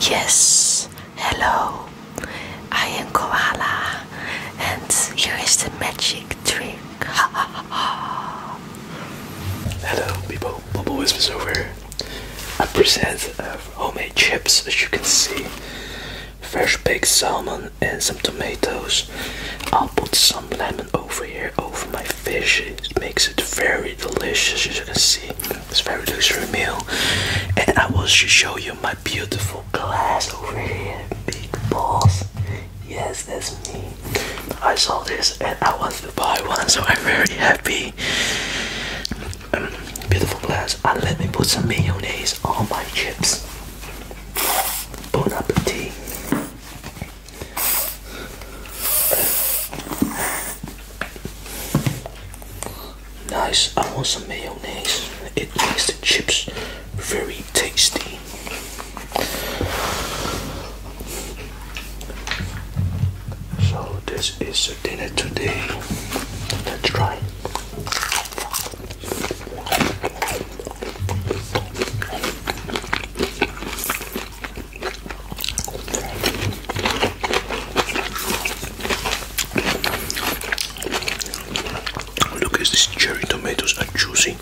Yes, hello, I am Koala, and here is the magic trick. hello, people, Bubble Wisp is over. A present of uh, homemade chips, as you can see. Fresh baked salmon and some tomatoes. I'll put some lemon over here over my fish. It makes it very delicious, as you can see. It's very luxury meal, and I want to show you my beautiful glass over here. Big boss. Yes, that's me. I saw this and I want to buy one, so I'm very happy. Um, beautiful glass. And let me put some mayonnaise on my chips. Bon appetit. Nice, I want some mayonnaise. It makes the chips very tasty. So this is the dinner today. Let's try. Look at these cherry tomatoes are juicy.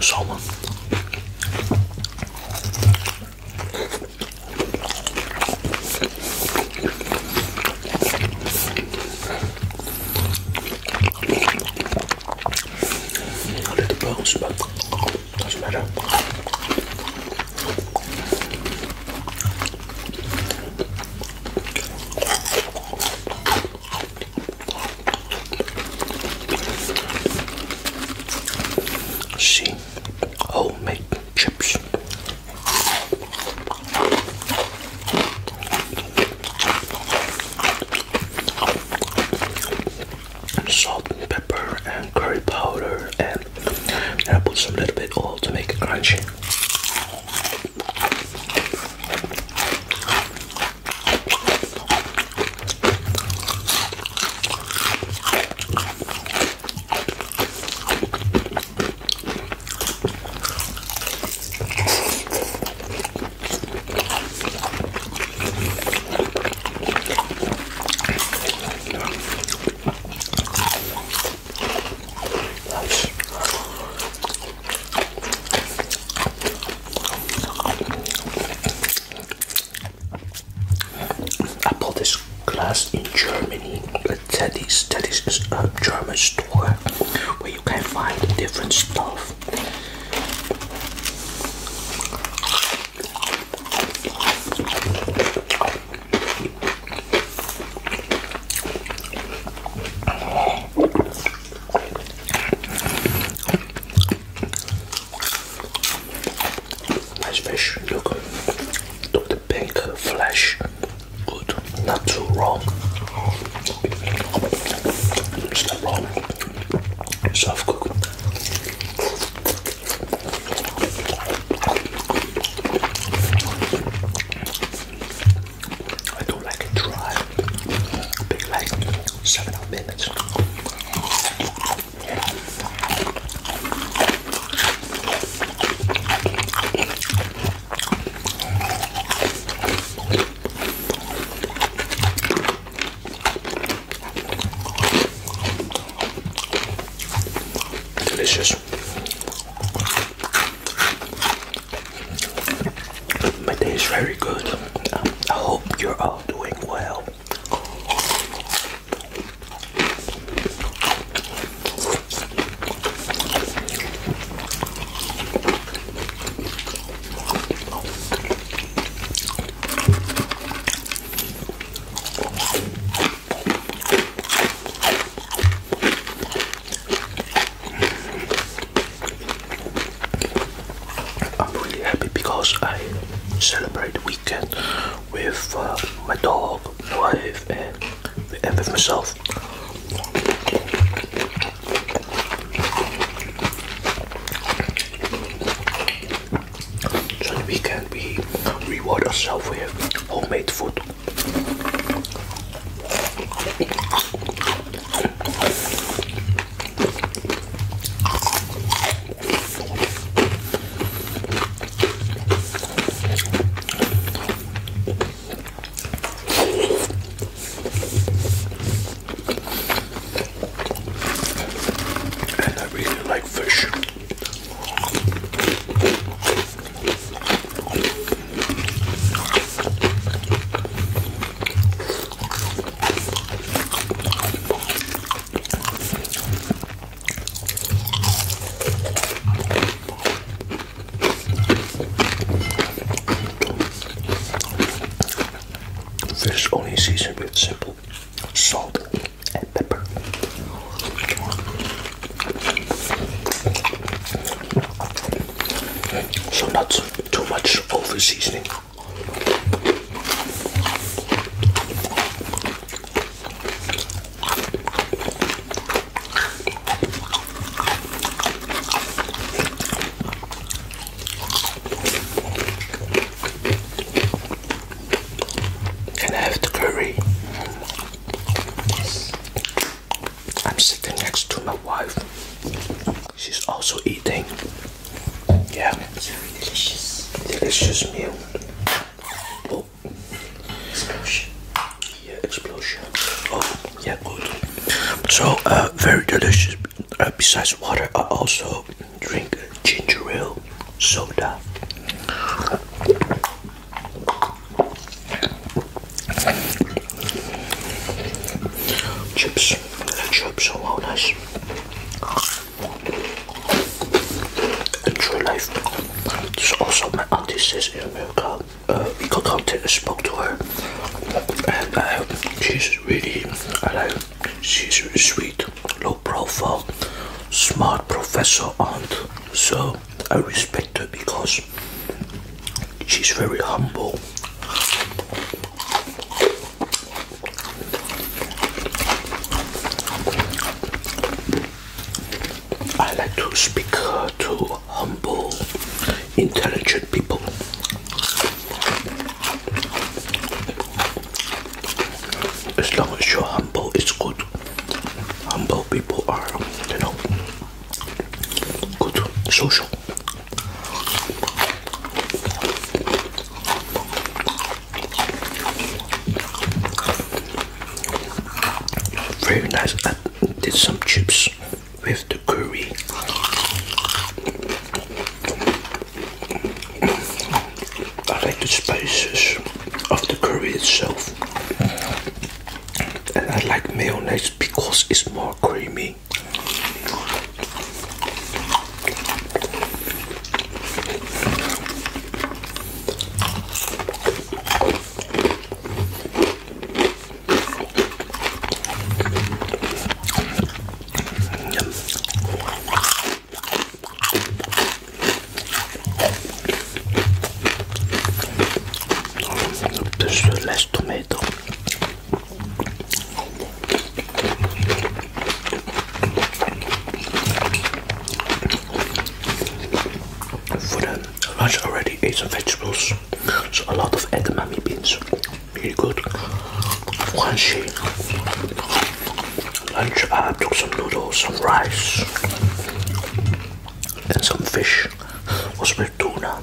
Salmon. A little bones, oh, but doesn't matter. See, homemade chips. And salt and pepper and curry powder and, and I put some little bit oil to make it crunchy. I bought this glass in Germany the Teddy's. Teddy's a German store where you can find different stuff. Nice fish, look, look the pink flesh good, not too raw. not raw, it's cooked. I don't like it dry, big like seven minutes. Delicious. My day is very good. I hope you're all doing well. I'm really happy because I celebrate the weekend with uh, my dog, my wife, and, and with myself. So the weekend we reward ourselves with homemade food. And I really like fish. Fish only seasoned with simple salt and pepper. So not too much over seasoning. Can I have the curry? I'm sitting next to my wife. She's also eating. Yeah. It's very delicious. Delicious meal. Oh. Explosion. Yeah, explosion. Oh, yeah, good. So, uh, very delicious. Uh, besides water, I also drink ginger ale soda. Chips, the chips are all nice. Enjoy life. This is also my auntie says in America. We uh, contacted spoke to her, and uh, she's really, uh, she's really sweet, low profile, smart professor aunt. So I respect her because she's very humble. I like to speak uh, to humble, intelligent people. As long as you're humble, it's good. Humble people are, you know, good, social. Very nice. I did some chips with the curry. I like the spices of the curry itself. And I like mayonnaise because it's more creamy. This is tomber dedans. For the lunch, I already eaten vegetables so a lot of edamame beans, very good. Crunchy. Lunch, I took some noodles, some rice, and some fish. Was with tuna.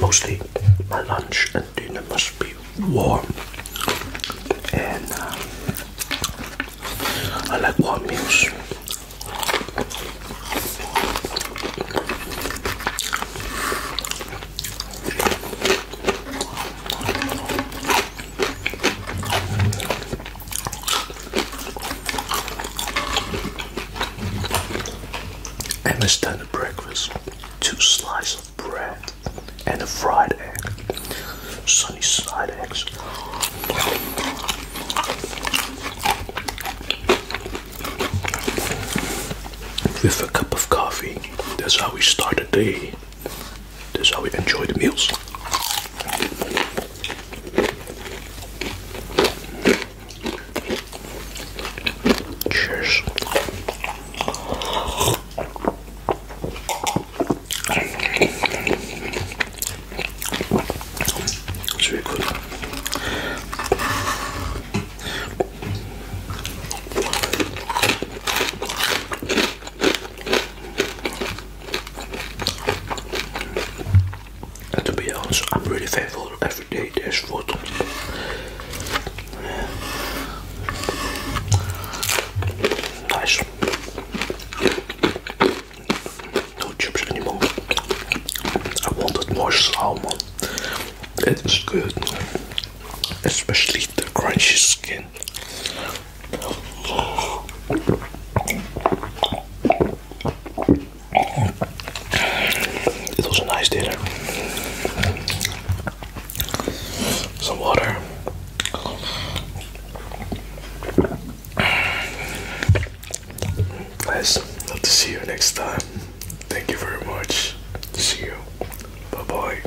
Mostly my lunch and dinner must be warm, and uh, I like warm meals. And a standard breakfast, two slices of bread and a fried egg, sunny side eggs. With a cup of coffee, that's how we start the day. This how we enjoy the meals. Cheers. very good. And to be honest, I'm really thankful every day there's food. Nice. No chips anymore. I wanted more salmon. It is good, especially the crunchy skin. It was a nice dinner. Some water. Guys, love to see you next time. Thank you very much. See you. Bye bye.